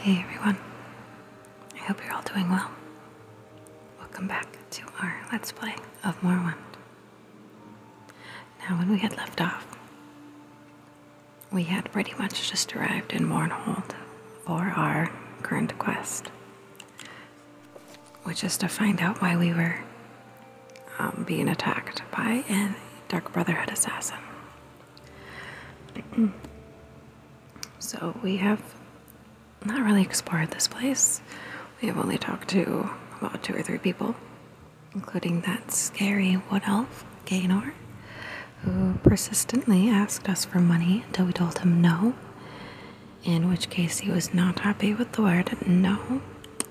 Hey everyone, I hope you're all doing well. Welcome back to our Let's Play of Morrowind. Now when we had left off, we had pretty much just arrived in Mournhold for our current quest, which is to find out why we were um, being attacked by a Dark Brotherhood assassin. so we have not really explored this place. We have only talked to about two or three people, including that scary wood elf, Gaynor, who persistently asked us for money until we told him no, in which case he was not happy with the word no,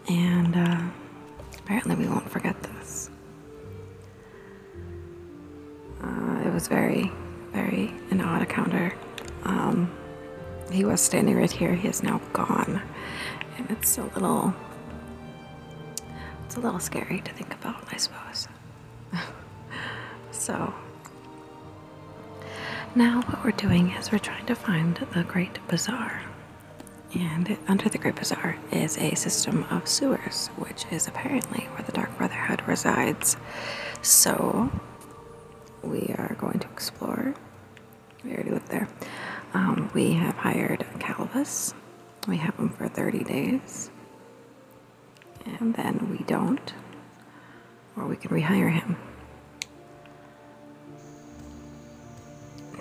and uh, apparently we won't forget this. Uh, it was very, very an odd encounter. Um, he was standing right here. He is now gone, and it's a little, it's a little scary to think about, I suppose. so now what we're doing is we're trying to find the Great Bazaar, and under the Great Bazaar is a system of sewers, which is apparently where the Dark Brotherhood resides. So we are going to explore. We already looked there. Um, we have hired Calvus. We have him for 30 days. And then we don't. Or we can rehire him.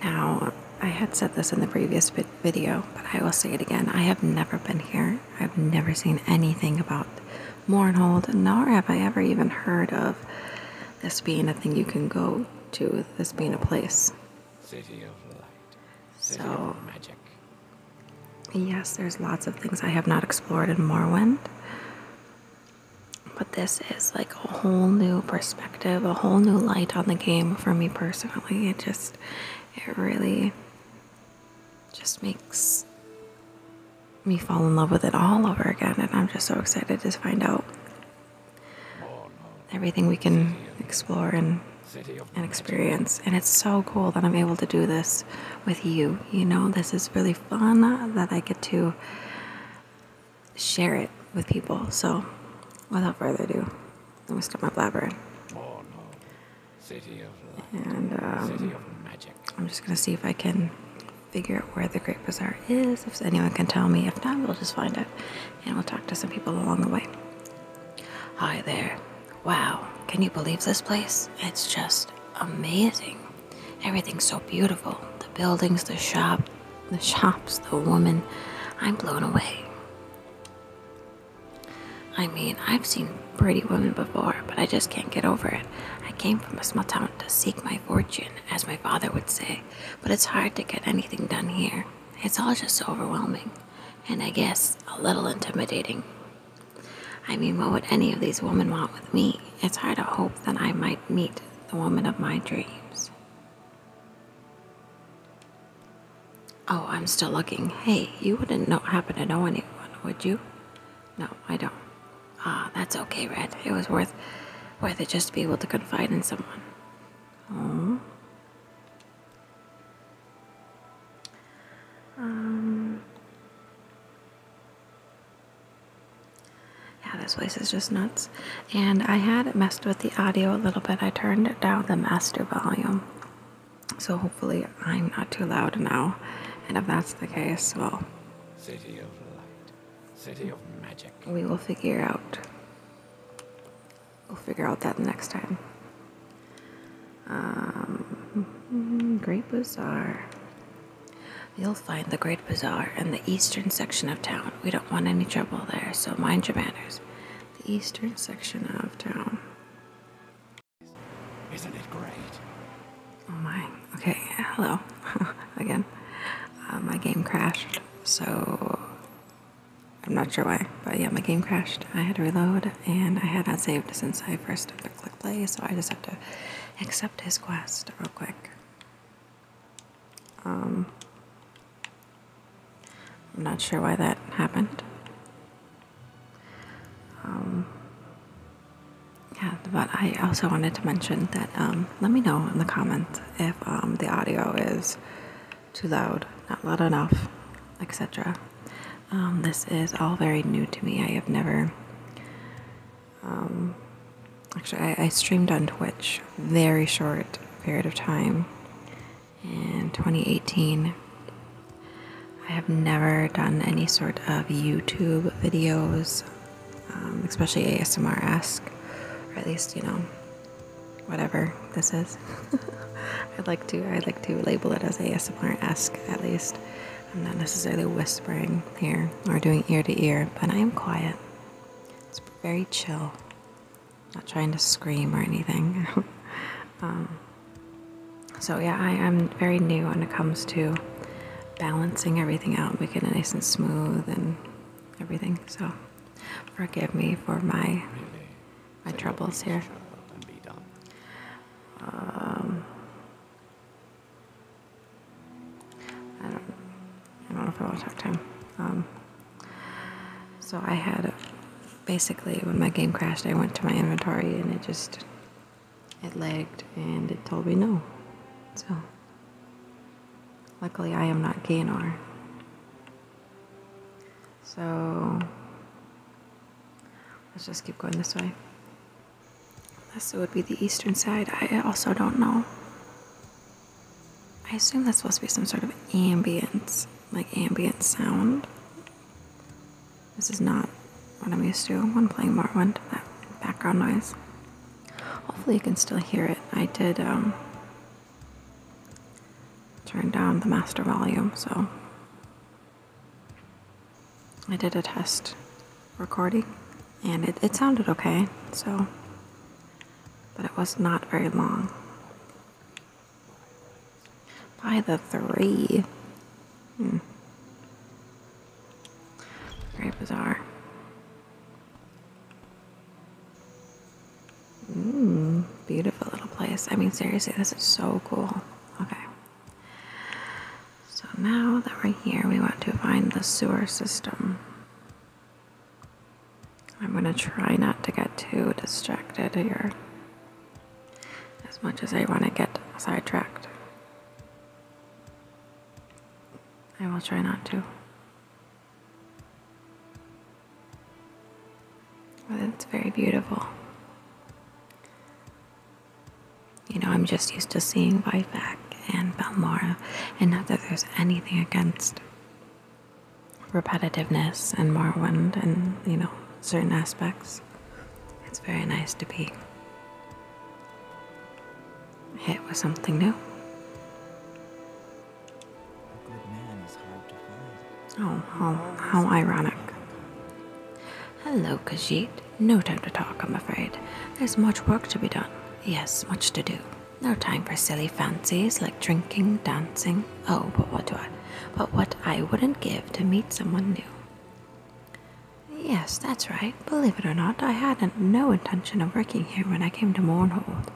Now, I had said this in the previous video video, but I will say it again. I have never been here. I've never seen anything about Mournhold, nor have I ever even heard of this being a thing you can go to, this being a place. City of light. City of magic. Yes, there's lots of things I have not explored in Morwind, But this is like a whole new perspective, a whole new light on the game for me personally. It just it really just makes me fall in love with it all over again, and I'm just so excited to find out everything we can explore and experience. And it's so cool that I'm able to do this with you. You know, this is really fun that I get to share it with people. So, without further ado, let me stop my blabbering. And um, I'm just gonna see if I can figure out where the Great Bazaar is, if anyone can tell me. If not, we'll just find it and we'll talk to some people along the way. Hi there. Wow, can you believe this place? It's just amazing. Everything's so beautiful. The buildings, the shop, the shops, the woman. I'm blown away. I mean, I've seen pretty women before, but I just can't get over it. I came from a small town to seek my fortune, as my father would say, but it's hard to get anything done here. It's all just so overwhelming, and I guess a little intimidating. I mean, what would any of these women want with me? It's hard to hope that I might meet the woman of my dreams. Oh, I'm still looking. Hey, you wouldn't happen to know anyone, would you? No, I don't. Ah, that's okay, Red. It was worth worth it just to be able to confide in someone. Oh. Um. Yeah, this place is just nuts. And I had messed with the audio a little bit. I turned down the master volume. So hopefully I'm not too loud now. And if that's the case, well, city of light, city of magic. We will figure out. We'll figure out that next time. Um, Great Bazaar. You'll find the Great Bazaar in the eastern section of town. We don't want any trouble there, so mind your manners the eastern section of town. Isn't it great? Oh my. Okay, hello. Again. Uh, my game crashed, so I'm not sure why, but yeah, my game crashed. I had to reload, and I had not saved since I first click play, so I just have to accept his quest real quick. Um, I'm not sure why that happened. Um, yeah, but I also wanted to mention that um, let me know in the comments if um, the audio is too loud, not loud enough, etc. this is all very new to me. I have never. actually, I streamed on Twitch very short period of time, in 2018. I have never done any sort of YouTube videos, um, especially ASMR esque, or at least, you know, whatever this is. I'd like to I'd like to label it as ASMR esque at least. I'm not necessarily whispering here or doing ear to ear, but I am quiet. It's very chill. Not trying to scream or anything. Um, so, yeah, I, am very new when it comes to balancing everything out, making it nice and smooth and everything. So, forgive me for my my troubles here. Um, I don't, know if I want to talk to him. Um, so I had basically when my game crashed, I went to my inventory and it just it lagged and it told me no. So luckily I am not Gaynor. So let's just keep going this way. This would be the eastern side, I also don't know. I assume that's supposed to be some sort of ambience like ambient sound. This is not what I'm used to when playing Morrowind, that background noise. Hopefully, you can still hear it. I did um, turn down the master volume, so I did a test recording and it, it sounded okay, so, but it was not very long. By the three. Hmm. Very bizarre. Mmm, beautiful little place. I mean, seriously, this is so cool. Okay. So now that we're here, we want to find the sewer system. I'm going to try not to get too distracted here as much as I want to get sidetracked. I will try not to. That's very beautiful. You know, I'm just used to seeing Whiteback and Balmora, and not that there's anything against repetitiveness and Morrowind and, you know, certain aspects. It's very nice to be hit with something new. Oh, how, ironic. Hello, Kajit. No time to talk, I'm afraid. There's much work to be done. Yes, much to do. No time for silly fancies like drinking, dancing. Oh, but what do I? but what I wouldn't give to meet someone new. Yes, that's right. Believe it or not, I had no intention of working here when I came to Mournhold.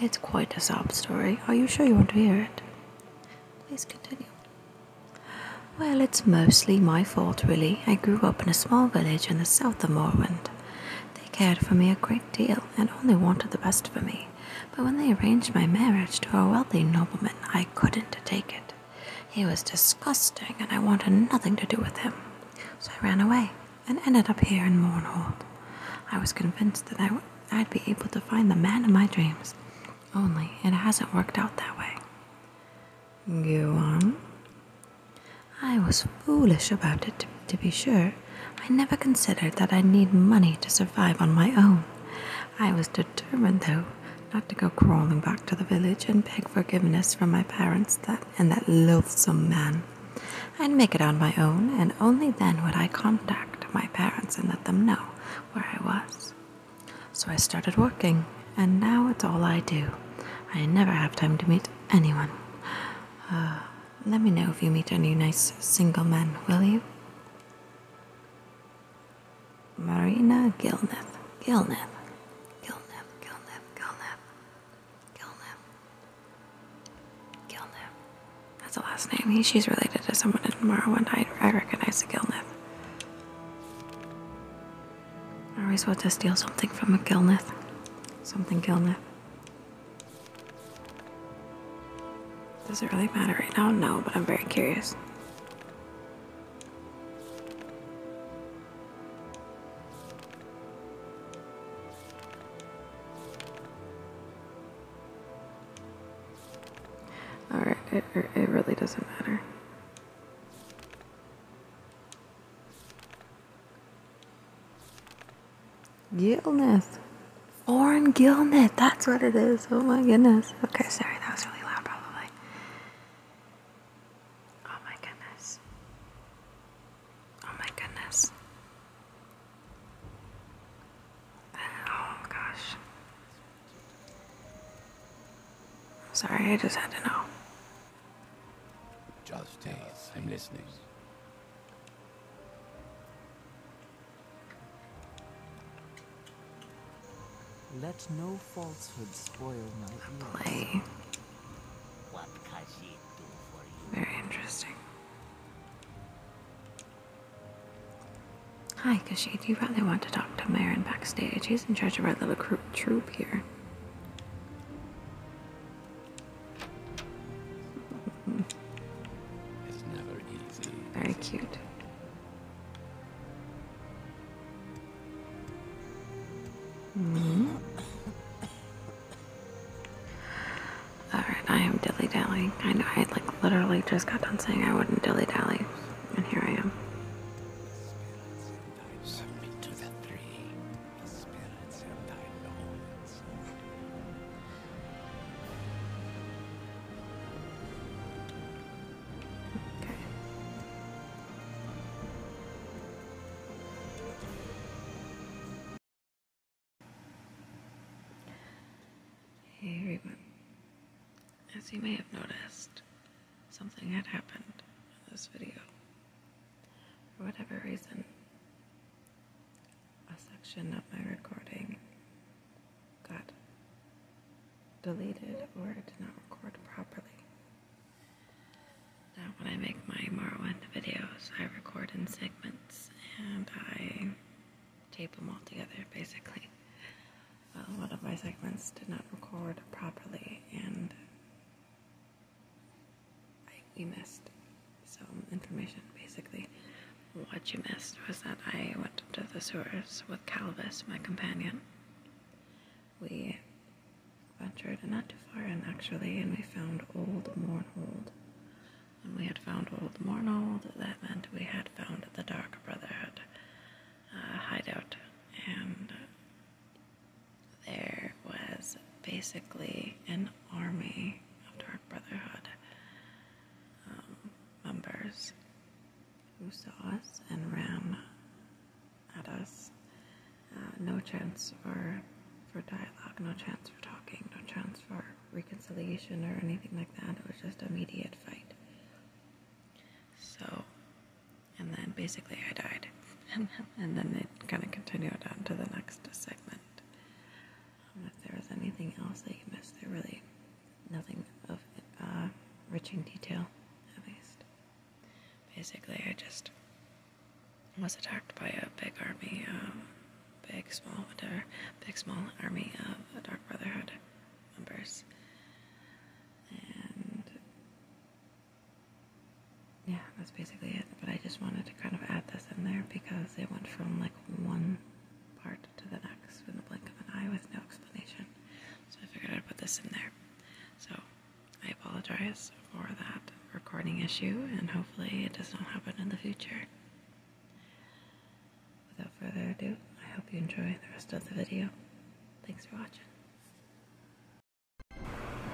It's quite a sob story. Are you sure you want to hear it? Please continue. Well, it's mostly my fault, really. I grew up in a small village in the south of Morwind. They cared for me a great deal and only wanted the best for me but when they arranged my marriage to a wealthy nobleman, I couldn't take it. He was disgusting, and I wanted nothing to do with him. So I ran away and ended up here in Mournhold. I was convinced that i w- I'd be able to find the man of my dreams. Only it hasn't worked out that way. Go on. I was foolish about it, to be sure. I never considered that I'd need money to survive on my own. I was determined, though, not to go crawling back to the village and beg forgiveness from my parents that, and that loathsome man. and make it on my own, and only then would I contact my parents and let them know where I was. So I started working, and now it's all I do. I never have time to meet anyone. Uh, let me know if you meet any nice single men, will you? Marina Gilneth. Gilneth. Gilneth. Gilneth. Gilneth. Gilnip, That's the last name. she's related to someone in One night, I recognize the Gilneth. I always want to steal something from a Gilnip. Something Gilneth. Does it really matter right now? No, but I'm very curious. Alright, it, really doesn't matter. Illness. Lauren Gilnett. That's what it is. Oh my goodness. Okay, sorry, that was really loud, probably. Oh my goodness. Oh my goodness. Oh gosh. Sorry, I just had to know. Just days. I'm listening. Let no falsehood spoil my play. What Khajiit you? Very interesting. Hi, Khajiit. You probably want to talk to Marin backstage. He's in charge of our little troupe here. Very cute. Me? Hmm. Alright, I am dilly dallying. I know I like literally just got done saying I wouldn't dilly dally, and here I am. Hey everyone. As you may have noticed, something had happened in this video. For whatever reason, a section of my recording got deleted or it did not record properly. Now, when I make my Morrowind videos, I record in segments and I tape them all together basically. a lot of my segments did not record properly and I, we missed some information basically. What you missed was that I went to the sewers with Calvis, my companion. We ventured not too far in, actually, and we found Old Mornold. When we had found Old Mornold, that meant we had found the Dark Brotherhood uh, hideout, and there was basically an army of Dark Brotherhood. Um, members who saw us and ran at us. Uh, no chance for, for dialogue, no chance for talking, no chance for reconciliation or anything like that. It was just immediate fight. So, and then basically I died. and then it kind of continued on to the next segment. Um, if there was anything else that you missed, there really nothing of uh, enriching detail, at least. Basically, I just was attacked by a big army, uh, big, small, whatever, big, small army of uh, Dark Brotherhood members. And yeah, that's basically it. But I just wanted to kind of add this in there because it went from like one part to the next in the blink of an eye with no explanation. So I figured I'd put this in there. So I apologize for that recording issue, and hopefully it does not happen in the future. Without further ado, I hope you enjoy the rest of the video. Thanks for watching.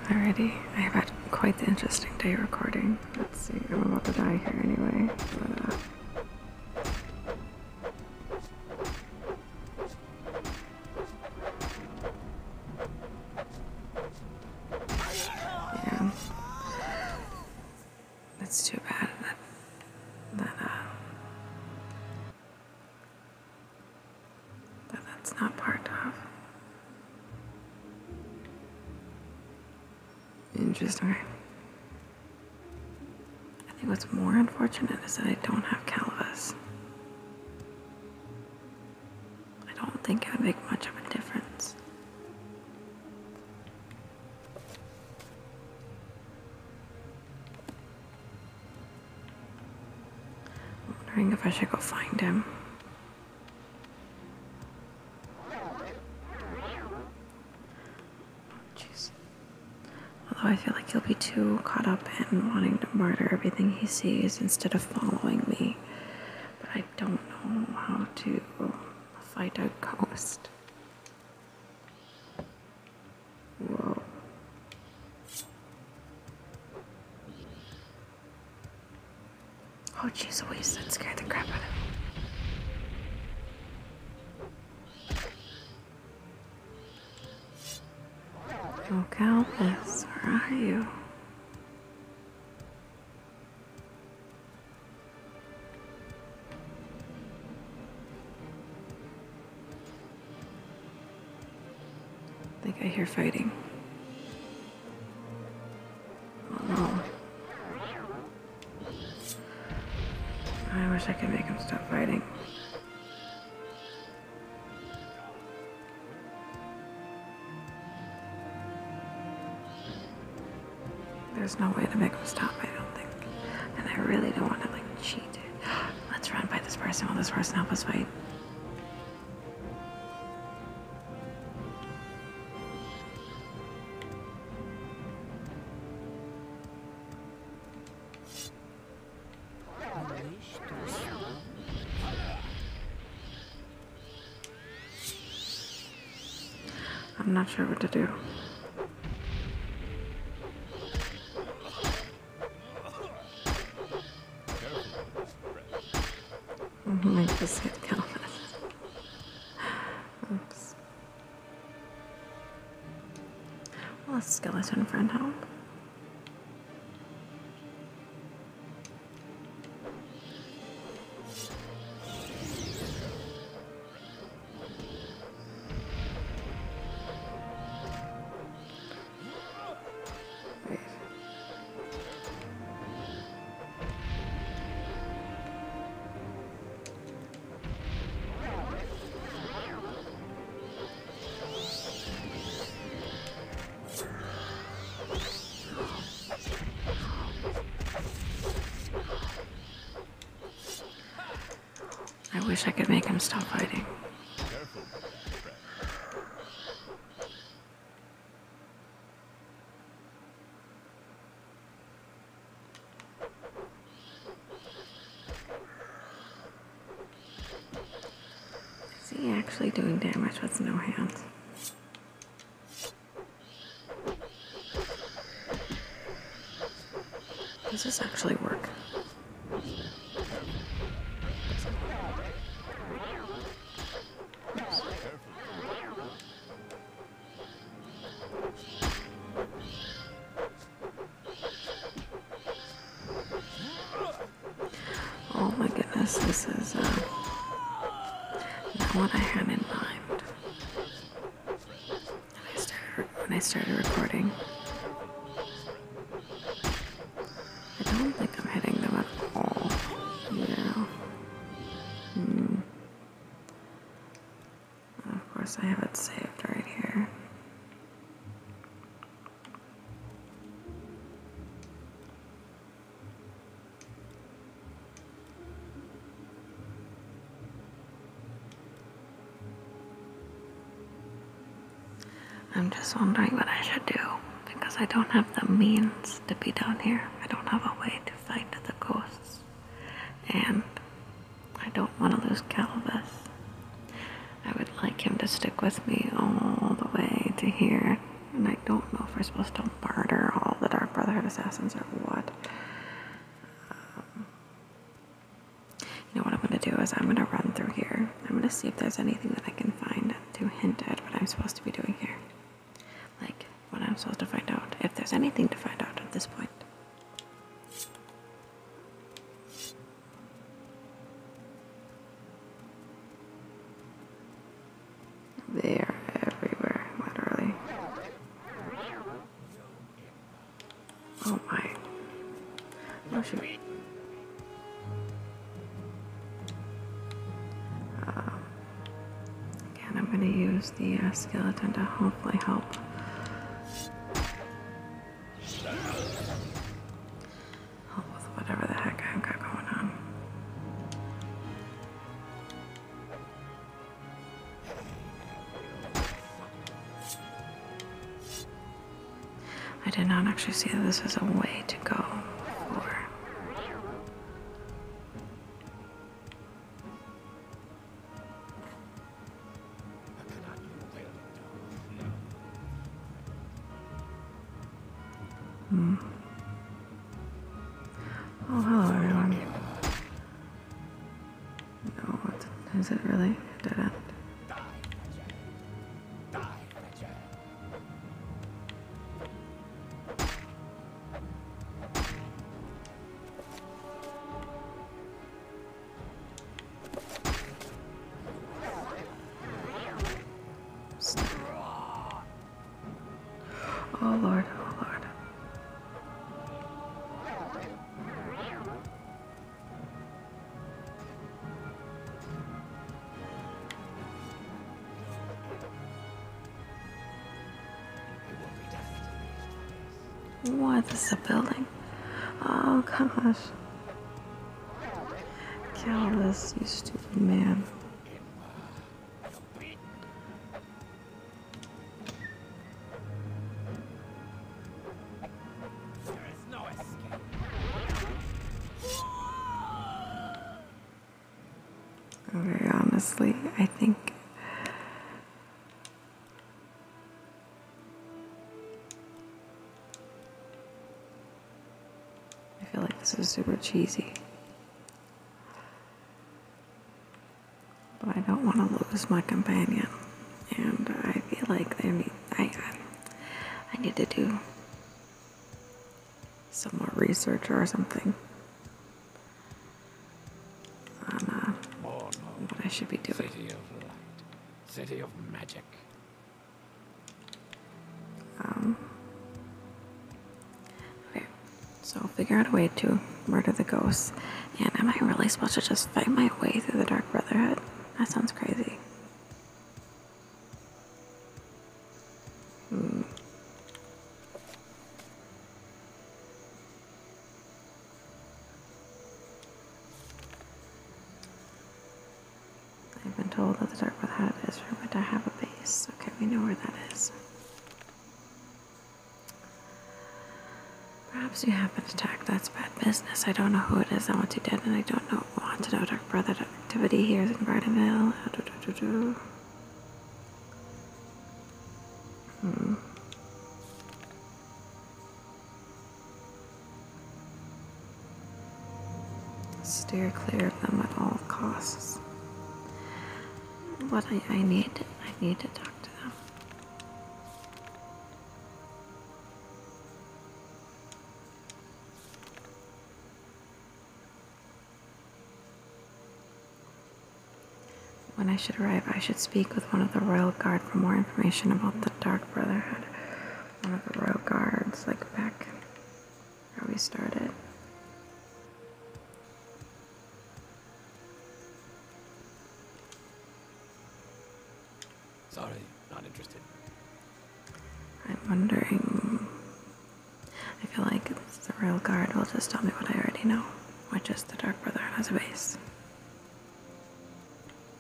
Alrighty, I've had quite the interesting day recording. Let's see, I'm about to die here anyway, uh, yeah. That's too bad that, that, uh, that that's not part of. Interesting. I think what's more unfortunate is that I don't have Calvus. I don't think it would make much of a difference. wondering if I should go find him. Jeez. Although I feel like he'll be too caught up in wanting to murder everything he sees instead of following me. But I don't know how to fight a ghost. Whoa. Oh, jeez Louise, that scared the crap out of me. Oh, Galvis, where are you? I think I hear fighting. Oh no. I wish I could make him stop fighting. There's no way to make him stop, I don't think. And I really don't want to, like, cheat. Let's run by this person. Will this person help us fight? I'm not sure what to do. I just hit Will a skeleton friend help? I wish I could make him stop fighting. Is he actually doing damage with no hands? Does this actually work? Oh my goodness, this is uh, not what I had in mind. When I started, recording, I don't think I'm hitting them at all. You know? Mm. Of course, I have it saved right here. I'm just wondering what I should do because I don't have the means to be down here. I don't have a way to fight the ghosts. And I don't want to lose Calvus. I would like him to stick with me all the way to here. And I don't know if we're supposed to barter all the Dark Brotherhood assassins or what. Um, you know what I'm going to do is I'm going to run through here. I'm going to see if there's anything that I can find to hint at what I'm supposed to be doing here. Like, what I'm supposed to find out. If there's anything to find out at this point. They're everywhere, literally. Oh my. Oh shoot. Um, again, I'm going to use the uh, skeleton to hopefully help whatever the heck I've got going on. I did not actually see that this is a way to go for. Hmm. Oh, hello everyone. No, what is it really? Dead end. Oh Lord, oh Lord. Why this a building? Oh gosh. Kill you stupid man. Very honestly, I think I feel like this is super cheesy. But I don't want to lose my companion. And I feel like I need, I, need to do some more research or something. I should be doing. City of light, city of magic. Um, okay, so figure out a way to murder the ghosts, and am I really supposed to just fight my way through the Dark Brotherhood? That sounds crazy. Hmm. I've been told that the dark path had is for when I have a base. Okay, we know where that is. Perhaps you have been attacked. That's bad business. I don't know who it is I want you dead, and I don't know want to know Dark Brother activity here in Vardenville. Hmm. Steer clear of them at all costs. What I, need, I need to talk to them. When I should arrive, I should speak with one of the royal guard for more information about the Dark Brotherhood. One of the royal guards, like back where we started. Sorry, not interested. I'm wondering. I feel like the royal guard will just tell me what I already know, which is the Dark Brotherhood has a base.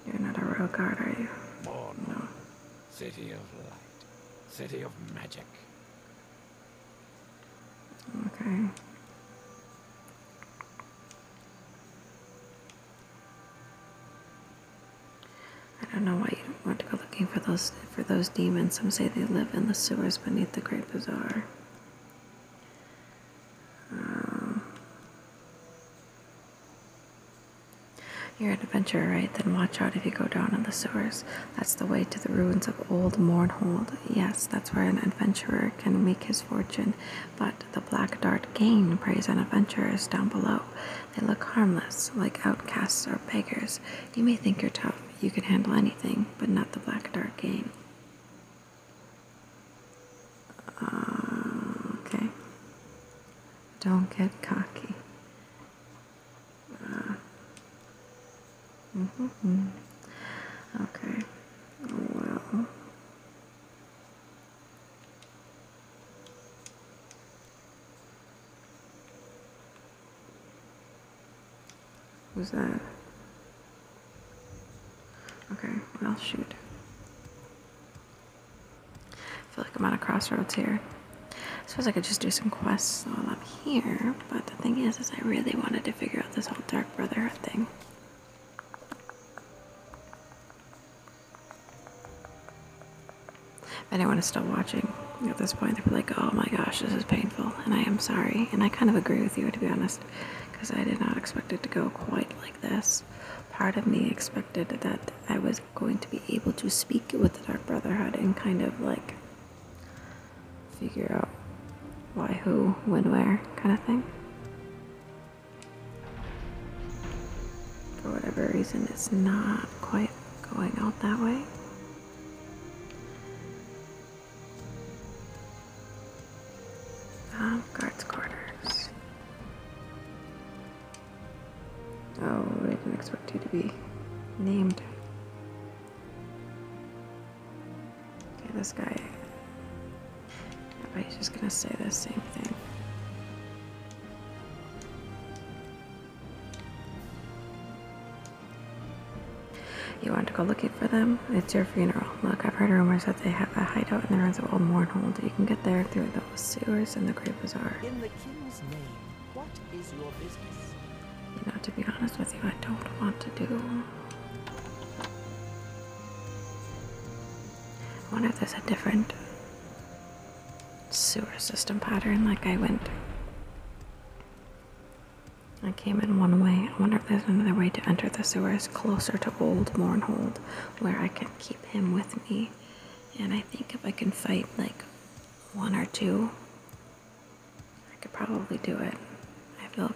You're not a real guard, are you? Born. No. City of light. City of magic. Okay. I don't know why you don't want to go looking for those for those demons. Some say they live in the sewers beneath the Great Bazaar you're an adventurer, right? Then watch out if you go down in the sewers. That's the way to the ruins of old Mornhold. Yes, that's where an adventurer can make his fortune. But the Black Dart Gang preys on adventurers down below. They look harmless, like outcasts or beggars. You may think you're tough, you can handle anything, but not the Black Dart Gang. Uh, okay. Don't get cocky. Uh, -hmm. Okay. Well. Who's that? Okay, I'll shoot. I feel like I'm at a crossroads here. I suppose I could just do some quests while I'm here, but the thing is, is I really wanted to figure out this whole Dark Brotherhood thing. If anyone is still watching at this point, they're like, oh my gosh, this is painful, and I am sorry, and I kind of agree with you, to be honest because I did not expect it to go quite like this. Part of me expected that I was going to be able to speak with the Dark Brotherhood and kind of like figure out why, who, when, where kind of thing. For whatever reason, it's not quite going out that way. Um, guards Oh, I didn't expect you to be named. Okay, this guy. he's just gonna say the same thing. You want to go looking for them? It's your funeral. Look, I've heard rumors that they have a hideout in the ruins of Old Mournhold. You can get there through those sewers and the Great Bazaar. In the king's name, what is your business? You know, to be honest with you, I don't want to do. I wonder if there's a different sewer system pattern like I went. I came in one way. I wonder there's another way to enter the sewers closer to old Mornhold, where I can keep him with me. And I think if I can fight like one or two, I could probably do it. I feel.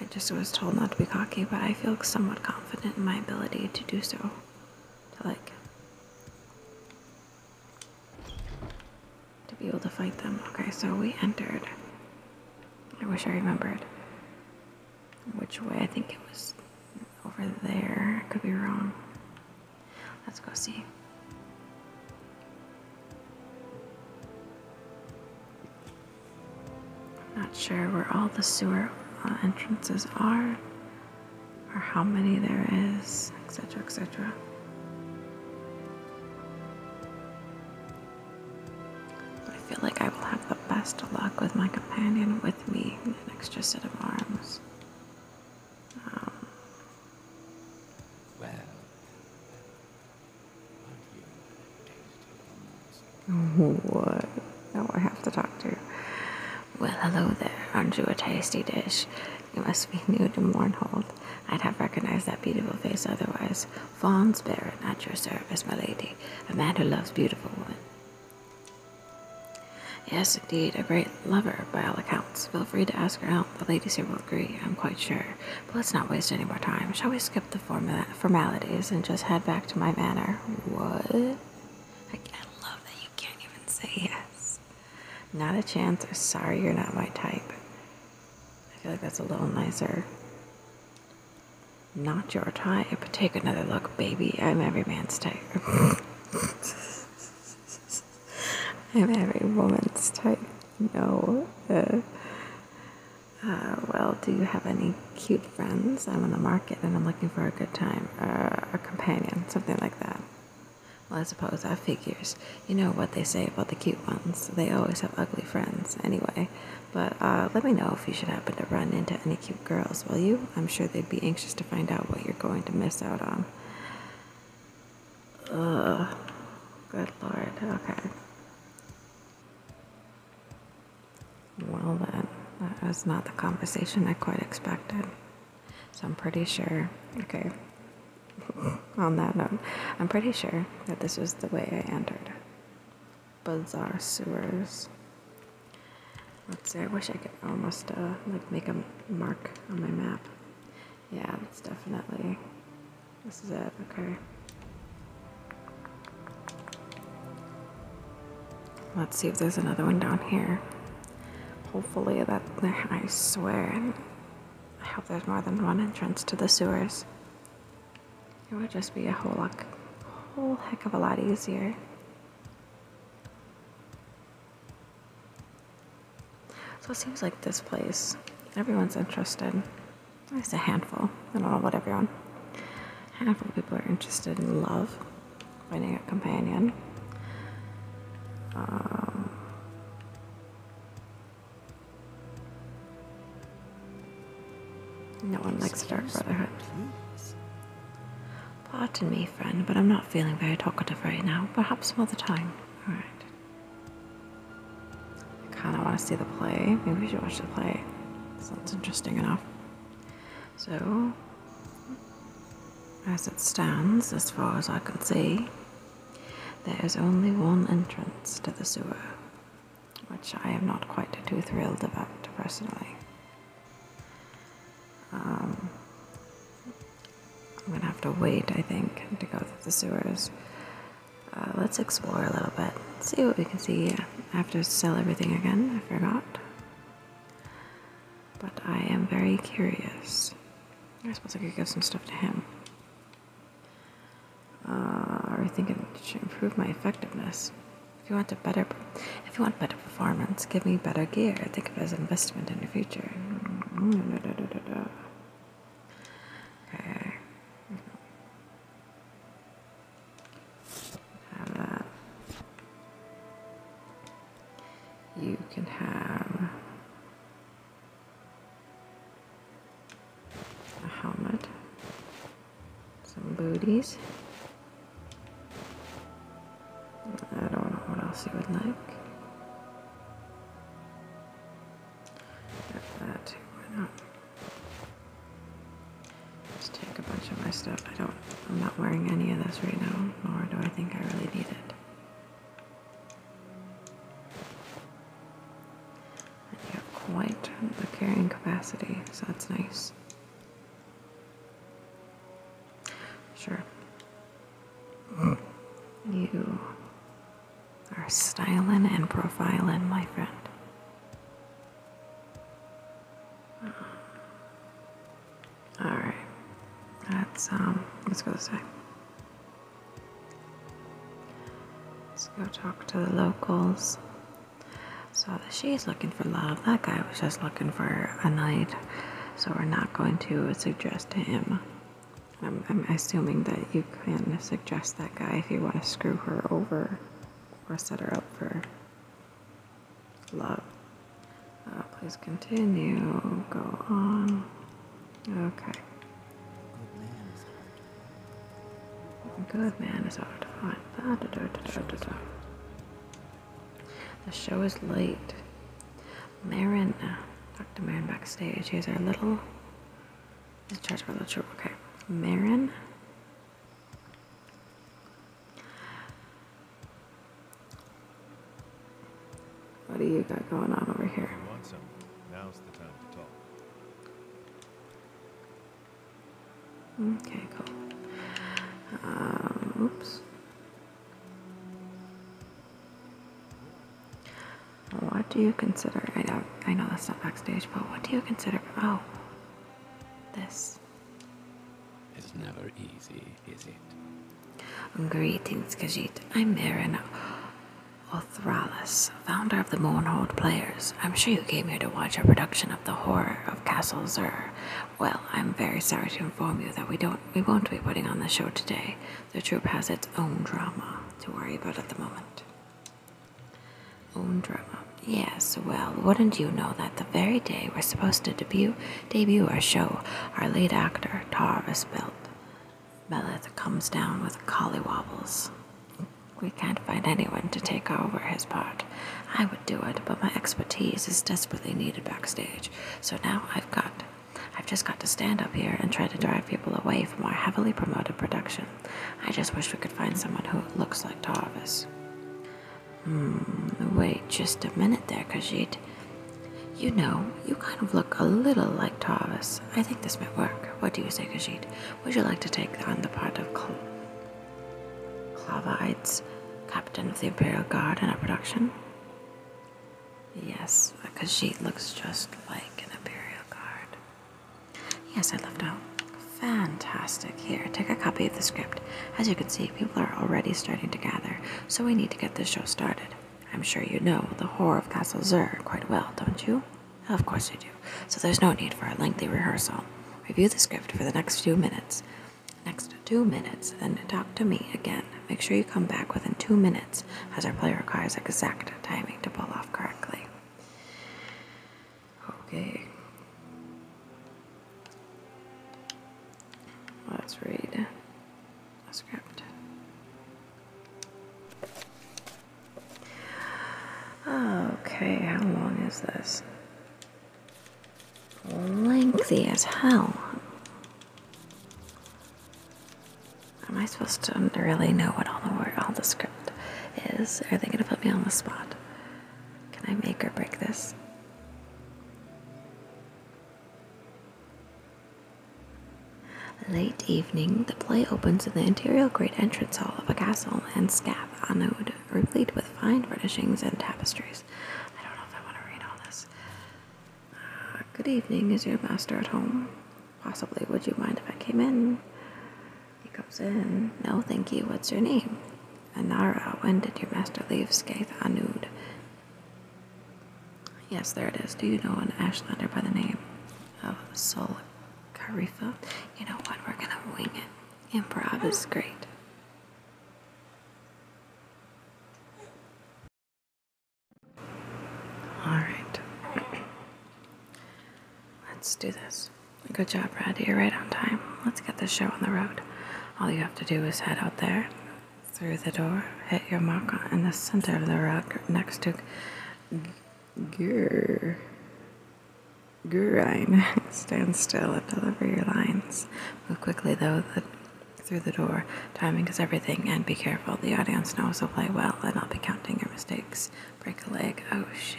I just was told not to be cocky, but I feel somewhat confident in my ability to do so. To like. To be able to fight them. Okay, so we entered. I wish I remembered which way. I think it was over there. I could be wrong. Let's go see. I'm not sure where all the sewer uh, entrances are or how many there is, etc., etc. I feel like I will have the best of luck with my companion with me, an extra set of arms. Um, What? Oh, I have to talk to Well, hello there. Aren't you a tasty dish? You must be new to Mournhold. I'd have recognized that beautiful face otherwise. Fawn's Baron, at your service, my lady, a man who loves beautiful women. Yes, indeed, a great lover, by all accounts. Feel free to ask her out. The ladies here will agree, I'm quite sure. But let's not waste any more time. Shall we skip the formalities and just head back to my manor? What? I love that you can't even say yes. Not a chance. Sorry you're not my type. I feel like that's a little nicer. Not your type. but Take another look, baby. I'm every man's type. I'm every woman's type. No. Uh, uh, well, do you have any cute friends? I'm on the market and I'm looking for a good time, uh, a companion, something like that. Well, I suppose that figures. You know what they say about the cute ones. They always have ugly friends. Anyway, but uh, let me know if you should happen to run into any cute girls, will you? I'm sure they'd be anxious to find out what you're going to miss out on. Good lord. Okay. Well, then, that was not the conversation I quite expected. So I'm pretty sure. Okay. on that note, I'm pretty sure that this was the way I entered. Bazaar sewers. Let's see, I wish I could almost uh, like make a mark on my map. Yeah, that's definitely, this is it, okay. Let's see if there's another one down here. Hopefully that, I swear, I hope there's more than one entrance to the sewers. It would just be a whole lot, whole heck of a lot easier. So it seems like this place, everyone's interested. There's a handful. I don't know about everyone. A handful of people are interested in love, finding a companion. Um, no one likes a dark brotherhood. Pardon me, friend, but I'm not feeling very talkative right now. Perhaps another time. Alright. I kind of want to see the play. Maybe we should watch the play. Sounds interesting enough. So, as it stands, as far as I can see, there is only one entrance to the sewer which I am not quite too thrilled about personally. Um, I'm gonna have to wait, I think, to go through the sewers. Uh, let's explore a little bit, see what we can see. I have to sell everything again, I forgot. But I am very curious. I suppose I could give some stuff to him uh, or thinking to improve my effectiveness. If you want a better, if you want better performance, give me better gear. Think of it as an investment in the future. Okay. Have that. You can have a helmet, some booties. I don't know what else you would like. Got that, why not? Just take a bunch of my stuff. I don't I'm not wearing any of this right now, nor do I think I really need it quite the carrying capacity, so that's nice. Sure. You are styling and profiling, my friend. All right. um. Let's go this way. Let's go talk to the locals. So she's looking for love. That guy was just looking for a night. So we're not going to suggest to him. I'm, assuming that you can suggest that guy if you want to screw her over or set her up for love. Uh, please continue. Go on. Okay. Good man is hard to find. the show is late. Marin, uh, Dr. Marin backstage. Here's our little. He's in charge for the little Okay. Marin. What do you got going on over here? Okay, cool. Uh, oops. What do you consider? I know, I know that's not backstage, but what do you consider? Oh, this. It's never easy, is it? Greetings, Kajit. I'm Marin Othralis founder of the Moonhold Players. I'm sure you came here to watch a production of The Horror of Castle Zur. Well, I'm very sorry to inform you that we don't we won't be putting on the show today. The troupe has its own drama to worry about at the moment. Own drama. Yes, well, wouldn't you know that the very day we're supposed to debut debut our show, our lead actor, Tarvis Belt, Beleth comes down with collywobbles. We can't find anyone to take over his part. I would do it, but my expertise is desperately needed backstage. So now I've got. I've just got to stand up here and try to drive people away from our heavily promoted production. I just wish we could find someone who looks like Tarvis. Hmm, wait just a minute there, Kajit. You know, you kind of look a little like Tarvis. I think this might work. What do you say, Kajit? Would you like to take on the part of Cl- Clavides, captain of the Imperial Guard, in our production? Yes, because she looks just like an Imperial Guard. Yes, I left out. Fantastic. Here, take a copy of the script. As you can see, people are already starting to gather, so we need to get this show started. I'm sure you know the horror of Castle Zur quite well, don't you? Of course you do, so there's no need for a lengthy rehearsal. Review the script for the next few minutes. Next two minutes, Then talk to me again. Make sure you come back within two minutes, as our play requires exact timing to pull off correctly. Okay. Let's read the script. Okay, how long is this? Lengthy as hell. Am I supposed to really know what all the all the script is? Are they gonna put me on the spot? Can I make or break this? Late evening, the play opens in the interior great entrance hall of a castle and scab anode, replete with fine furnishings and tapestries. I don't know if I want to read all this. Uh, good evening. Is your master at home? Possibly. Would you mind if I came in? He comes in. No, thank you. What's your name? Anara. When did your master leave Skaith Anud? Yes, there it is. Do you know an Ashlander by the name of Sol Karifa, You know what? We're gonna wing it. Improv is great. Alright. Let's do this. Good job, Brad. You're right on time. Let's get this show on the road. All you have to do is head out there, through the door, hit your mark in the center of the rug next to Grr. Grine. Stand still and deliver your lines. Move quickly, though, through the door. Timing is everything, and be careful. The audience knows, so play well, and I'll be counting your mistakes. Break a leg. Oh, shit.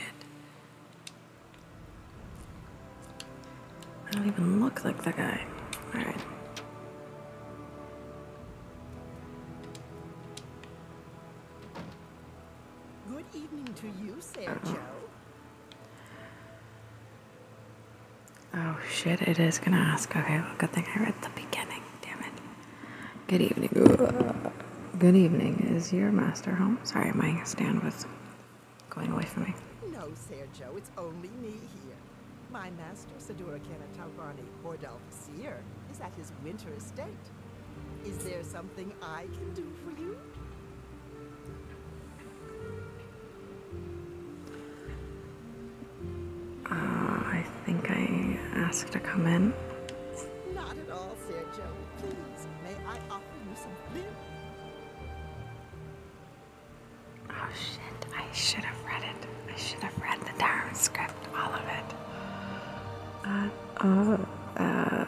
I don't even look like the guy. Alright. Good evening to you, Sergio. Oh shit, it is gonna ask. Okay, well, good thing I read the beginning. Damn it. Good evening. Uh, good evening. Is your master home? Sorry, my stand was going away from me. No, Sergio, it's only me here. My master, Sadura Kena Taubani Bordel is at his winter estate. Is there something I can do for you? Uh, I think I asked to come in. Oh shit, I should have read it. I should have read the Darren script, all of it. Uh, oh, uh,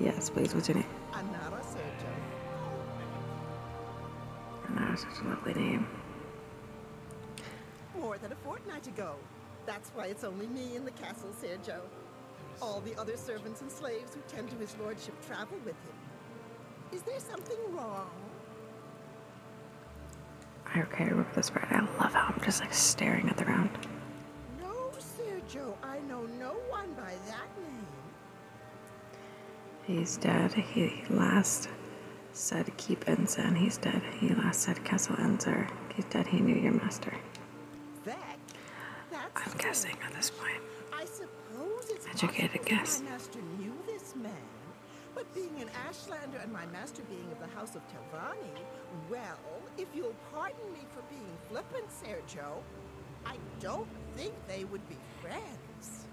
Yes, please. What's your name? Anara Sergio. Anara, such a lovely name. More than a fortnight ago. That's why it's only me in the castle, Sergio. All the other servants and slaves who tend to his lordship travel with him. Is there something wrong? Okay, remember this part. I love how I'm just like staring at the ground. No, Sir Joe. I know no one by that name. He's dead. He last said keep and He's dead. He last said castle enzer. He's dead. He knew your master. I'm guessing at this point. I suppose educated guess. My master knew this man, but being an Ashlander and my master being of the House of with Well, if you'll pardon me for being flippant, Sergio, I don't think they would be friends.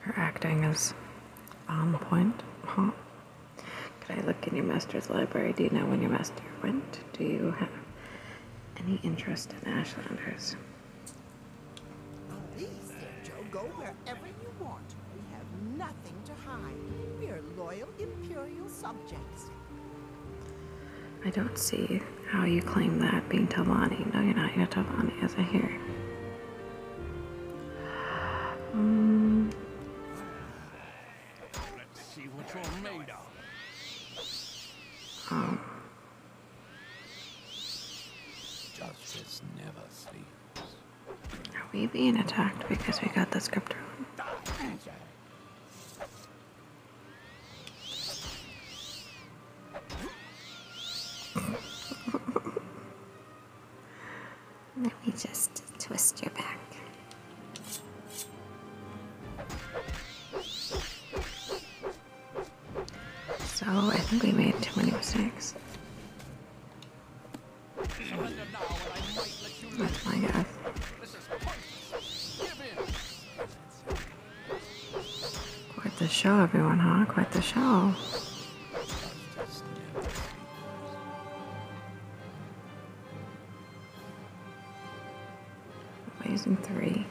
Her acting is on point, huh? Could I look in your master's library? Do you know when your master went? Do you have any interest in Ashlanders? Please, Sergio, go wherever you want nothing to hide. We are loyal Imperial subjects. I don't see how you claim that being Talani. No, you're not. You're Talani, as I hear. Mm. Let's see what you're made of. Um. Justice never sleeps. Are we being attacked because we got the script wrong? Let me just twist your back. So I think we made twenty six. That's my Quite the show, everyone, huh? Quite the show. Amazing three.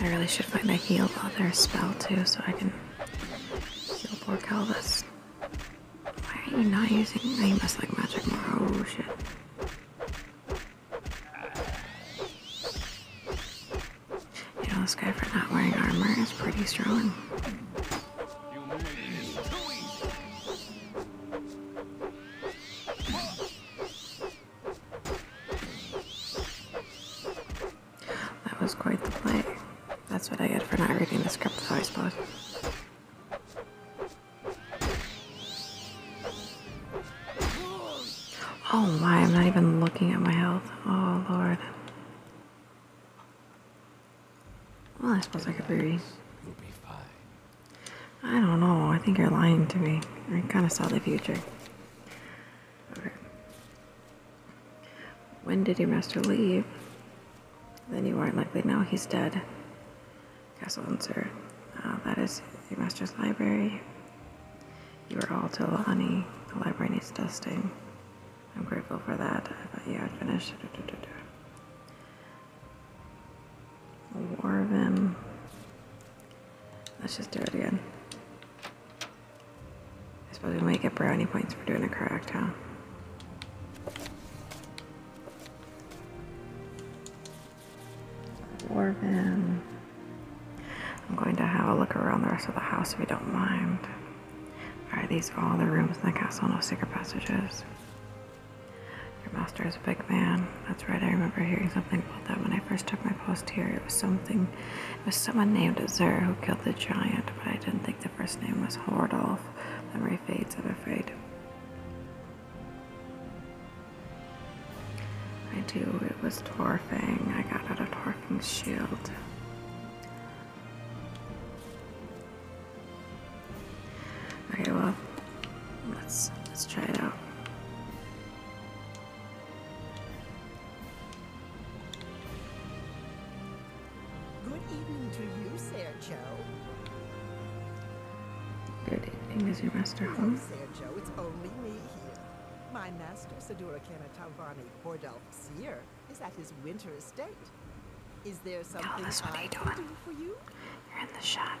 I really should find a heal other spell too so I can heal poor Calvis. Why are you not using oh, you must like magic more oh shit. You know this guy for not wearing armor is pretty strong. That was quite the play. That's what I get for not reading the script, though, I suppose. Oh my, I'm not even looking at my health. Oh lord. Well, I suppose I could be. I don't know. I think you're lying to me. I kind of saw the future. Okay. When did your master leave? Then you aren't likely now he's dead. Castle Unser. Uh, ah, that is your master's library. You are all honey. The library needs dusting. I'm grateful for that. I thought you had finished. More Let's just do it again. I suppose we might get brownie points for doing it correct, huh? Warvin. I'm going to have a look around the rest of the house if you don't mind. Are these all the rooms in the castle? No secret passages. Your master is a big man. That's right. I remember hearing something about that when I first took my post here. It was something. It was someone named Azur who killed the giant, but I didn't think the first name was Hordolf. Memory fades, I'm afraid. I do. It was Torfang. I got out of Torfang's shield. Okay, well, let's let's try it out. Good evening to you, Sergio. Good evening, is your master home? Hello, Sergio. It's only me here. My master, Sadura Kanatavani Hordal Sir, is at his winter estate is there something Callus, what are you doing? for you? You're in the shot.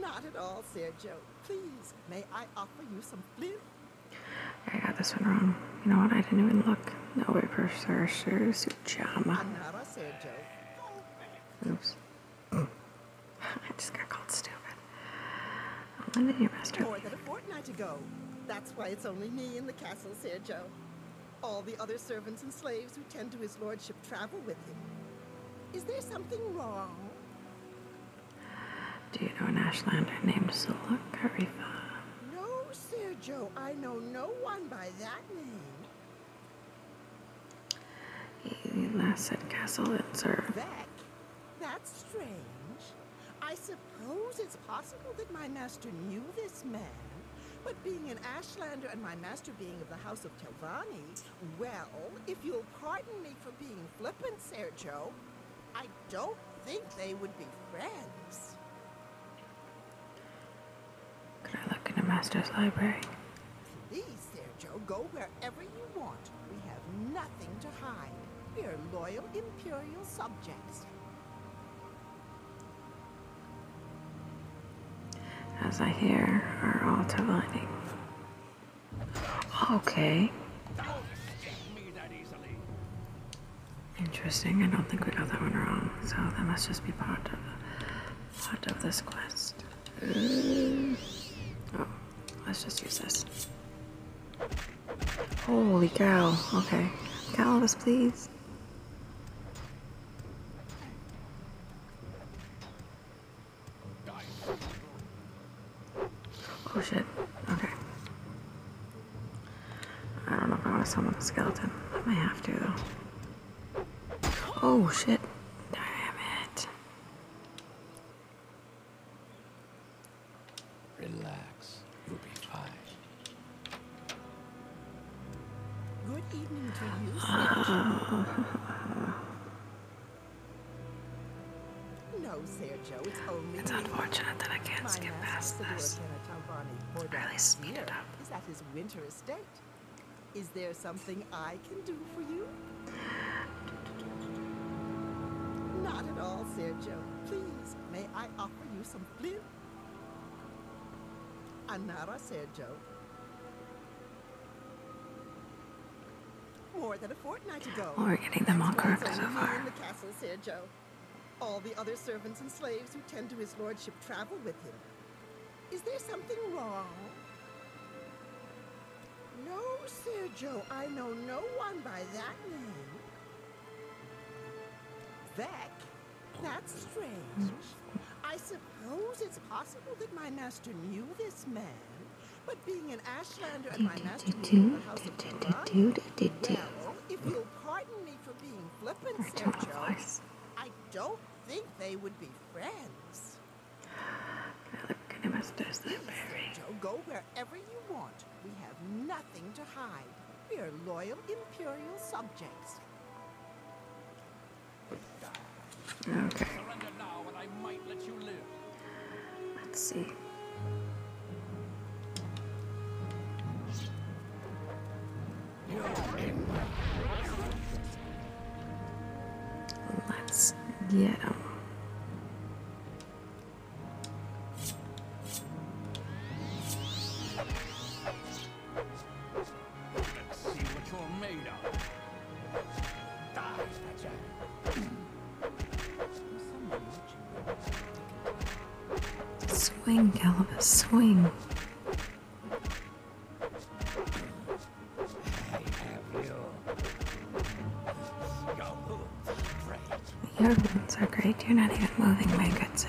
Not at all, Sergio. Please, may I offer you some flip? I got this one wrong. You know what? I didn't even look. No, I prefer Sergio Jama. Oops. I just got called stupid. I'm living your master. More than a fortnight ago. That's why it's only me in the castle, Sergio. All the other servants and slaves who tend to his lordship travel with him. Is there something wrong? Do you know an Ashlander named Sula Karifa? No, Sergio. I know no one by that name. He last said castle and served. That's strange. I suppose suppose it's possible that my master knew this man. But being an Ashlander and my master being of the House of Telvanni, well, if you'll pardon me for being flippant, Sergio, I don't think they would be friends. Can I look in the master's library? Please, Sergio, go wherever you want. We have nothing to hide. We're loyal Imperial subjects. As I hear our altar lining. Okay. Interesting. I don't think we got that one wrong, so that must just be part of part of this quest. Uh, oh, let's just use this. Holy cow. Okay. Calvus, please. Oh shit. Okay. I don't know if I want to summon the skeleton. I might have to though. Oh shit. Damn it. Relax. Sachs, Ruby Pie. Good evening to you, no, Sergio, it's only It's unfortunate that I can't skip past this. Or at least speed it up. Is at his winter estate. Is there something I can do for you? Not at all, Sergio. Please, may I offer you some flint? Anara Sergio. More than a fortnight ago. we're getting them all correct so far. The castle, Sergio. All the other servants and slaves who tend to his lordship travel with him. Is there something wrong? No, Sergio, I know no one by that name. Vec? That's strange. I suppose it's possible that my master knew this man. But being an Ashlander and my master knew the house of Quran, well, if you'll pardon me for being flippant, I don't think they would be friends. Sergio, go wherever you want. We have nothing nothing to hide. We are loyal Imperial subjects. Okay. Let's see. Let's get him. Let's see what you're made of. Swing, Calibus, swing. Your wounds are great. You're not even moving, my good sir.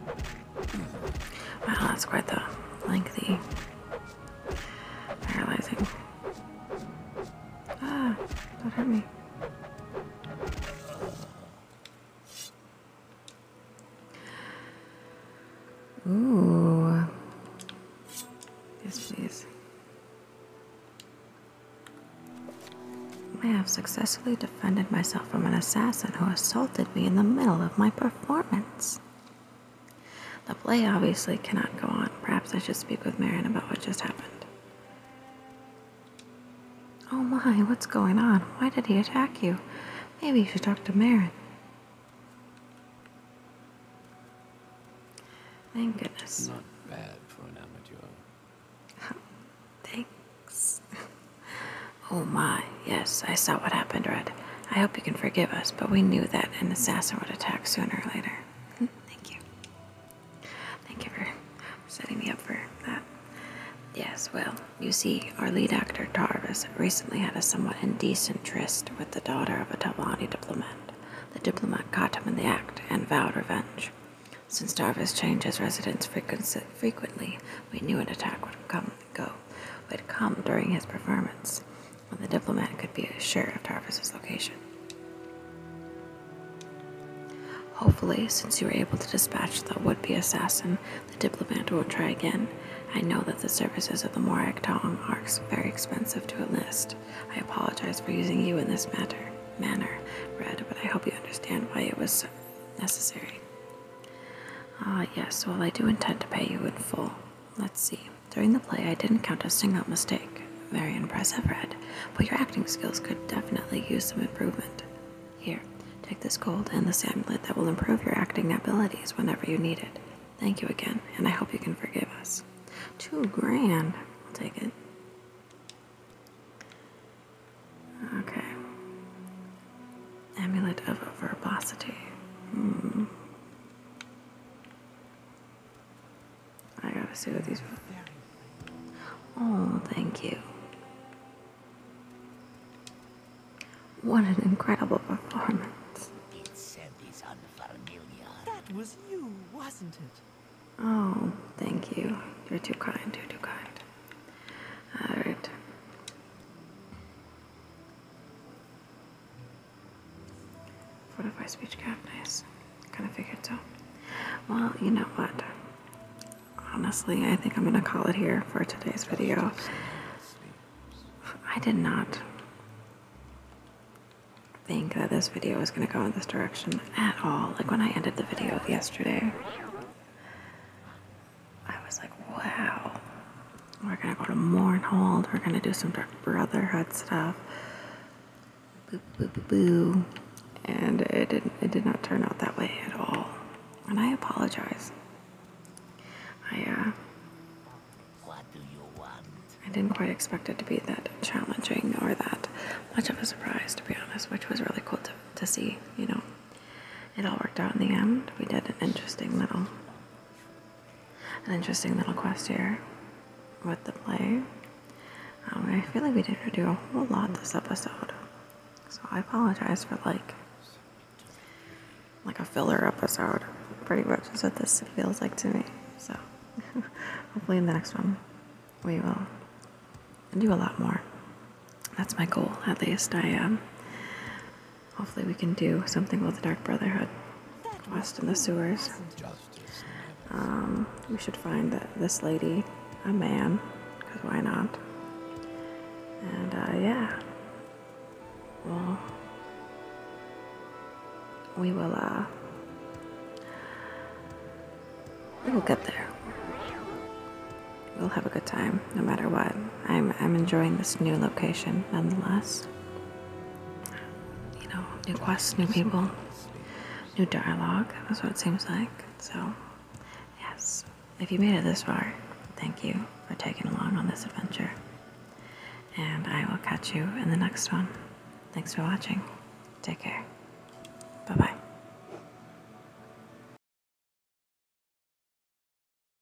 Wow, oh, that's quite the lengthy paralyzing. Ah, that hurt me. Ooh. Yes, please. I have successfully defended myself from an assassin who assaulted me in the middle of my performance. The play obviously cannot go on. Perhaps I should speak with Marion about what just happened. Oh my, what's going on? Why did he attack you? Maybe you should talk to Marion. Thank goodness. Not bad for an amateur. Thanks. Oh my, yes, I saw what happened, Red. I hope you can forgive us, but we knew that an assassin would attack sooner or later. Hmm, thank you. Thank you for setting me up for that. Yes, well, you see, our lead actor, Tarvis, recently had a somewhat indecent tryst with the daughter of a Talani diplomat. The diplomat caught him in the act and vowed revenge. Since Tarvis changes residence frequently, we knew an attack would come go would come during his performance, when the diplomat could be sure of Tarvis's location. Hopefully, since you were able to dispatch the would be assassin, the diplomat will not try again. I know that the services of the Morak Tong are very expensive to enlist. I apologize for using you in this matter manner, Red, but I hope you understand why it was necessary. Ah, yes, well, I do intend to pay you in full. Let's see. During the play, I didn't count a single mistake. Very impressive, Red. But your acting skills could definitely use some improvement. Here, take this gold and this amulet that will improve your acting abilities whenever you need it. Thank you again, and I hope you can forgive us. Two grand. I'll take it. Okay. Amulet of Verbosity. Hmm. I gotta see what these Oh, thank you. What an incredible performance. That was you, wasn't it? Oh, thank you. You're too kind, you're too kind. Alright. Fortify speechcraft, nice. Kind of figured so. Well, you know what? Honestly, I think I'm gonna call it here for today's video. I did not think that this video was gonna go in this direction at all. Like when I ended the video yesterday. I was like, wow, we're gonna go to Mournhold, we're gonna do some Dark Brotherhood stuff. Boo, boo, boo, And it didn't, it did not turn out that way at all. And I apologize. I, uh, I didn't quite expect it to be that challenging or that much of a surprise, to be honest, which was really cool to, to see, you know. It all worked out in the end. We did an interesting little an interesting little quest here with the play. Um, I feel like we didn't do a whole lot this episode, so I apologize for like like a filler episode. Pretty much is what this feels like to me. So hopefully in the next one we will do a lot more. That's my goal, at least. I am. Um, Hopefully we can do something with the Dark Brotherhood quest in the sewers. Um, we should find that this lady, a man, because why not? And uh, yeah, we will. Uh, we will get there. We'll have a good time, no matter what. I'm, enjoying this new location nonetheless. You know, new quests, new people, new dialogue. That's what it seems like. So, yes, if you made it this far, thank you for taking along on this adventure. And I will catch you in the next one. Thanks for watching. Take care. Bye bye.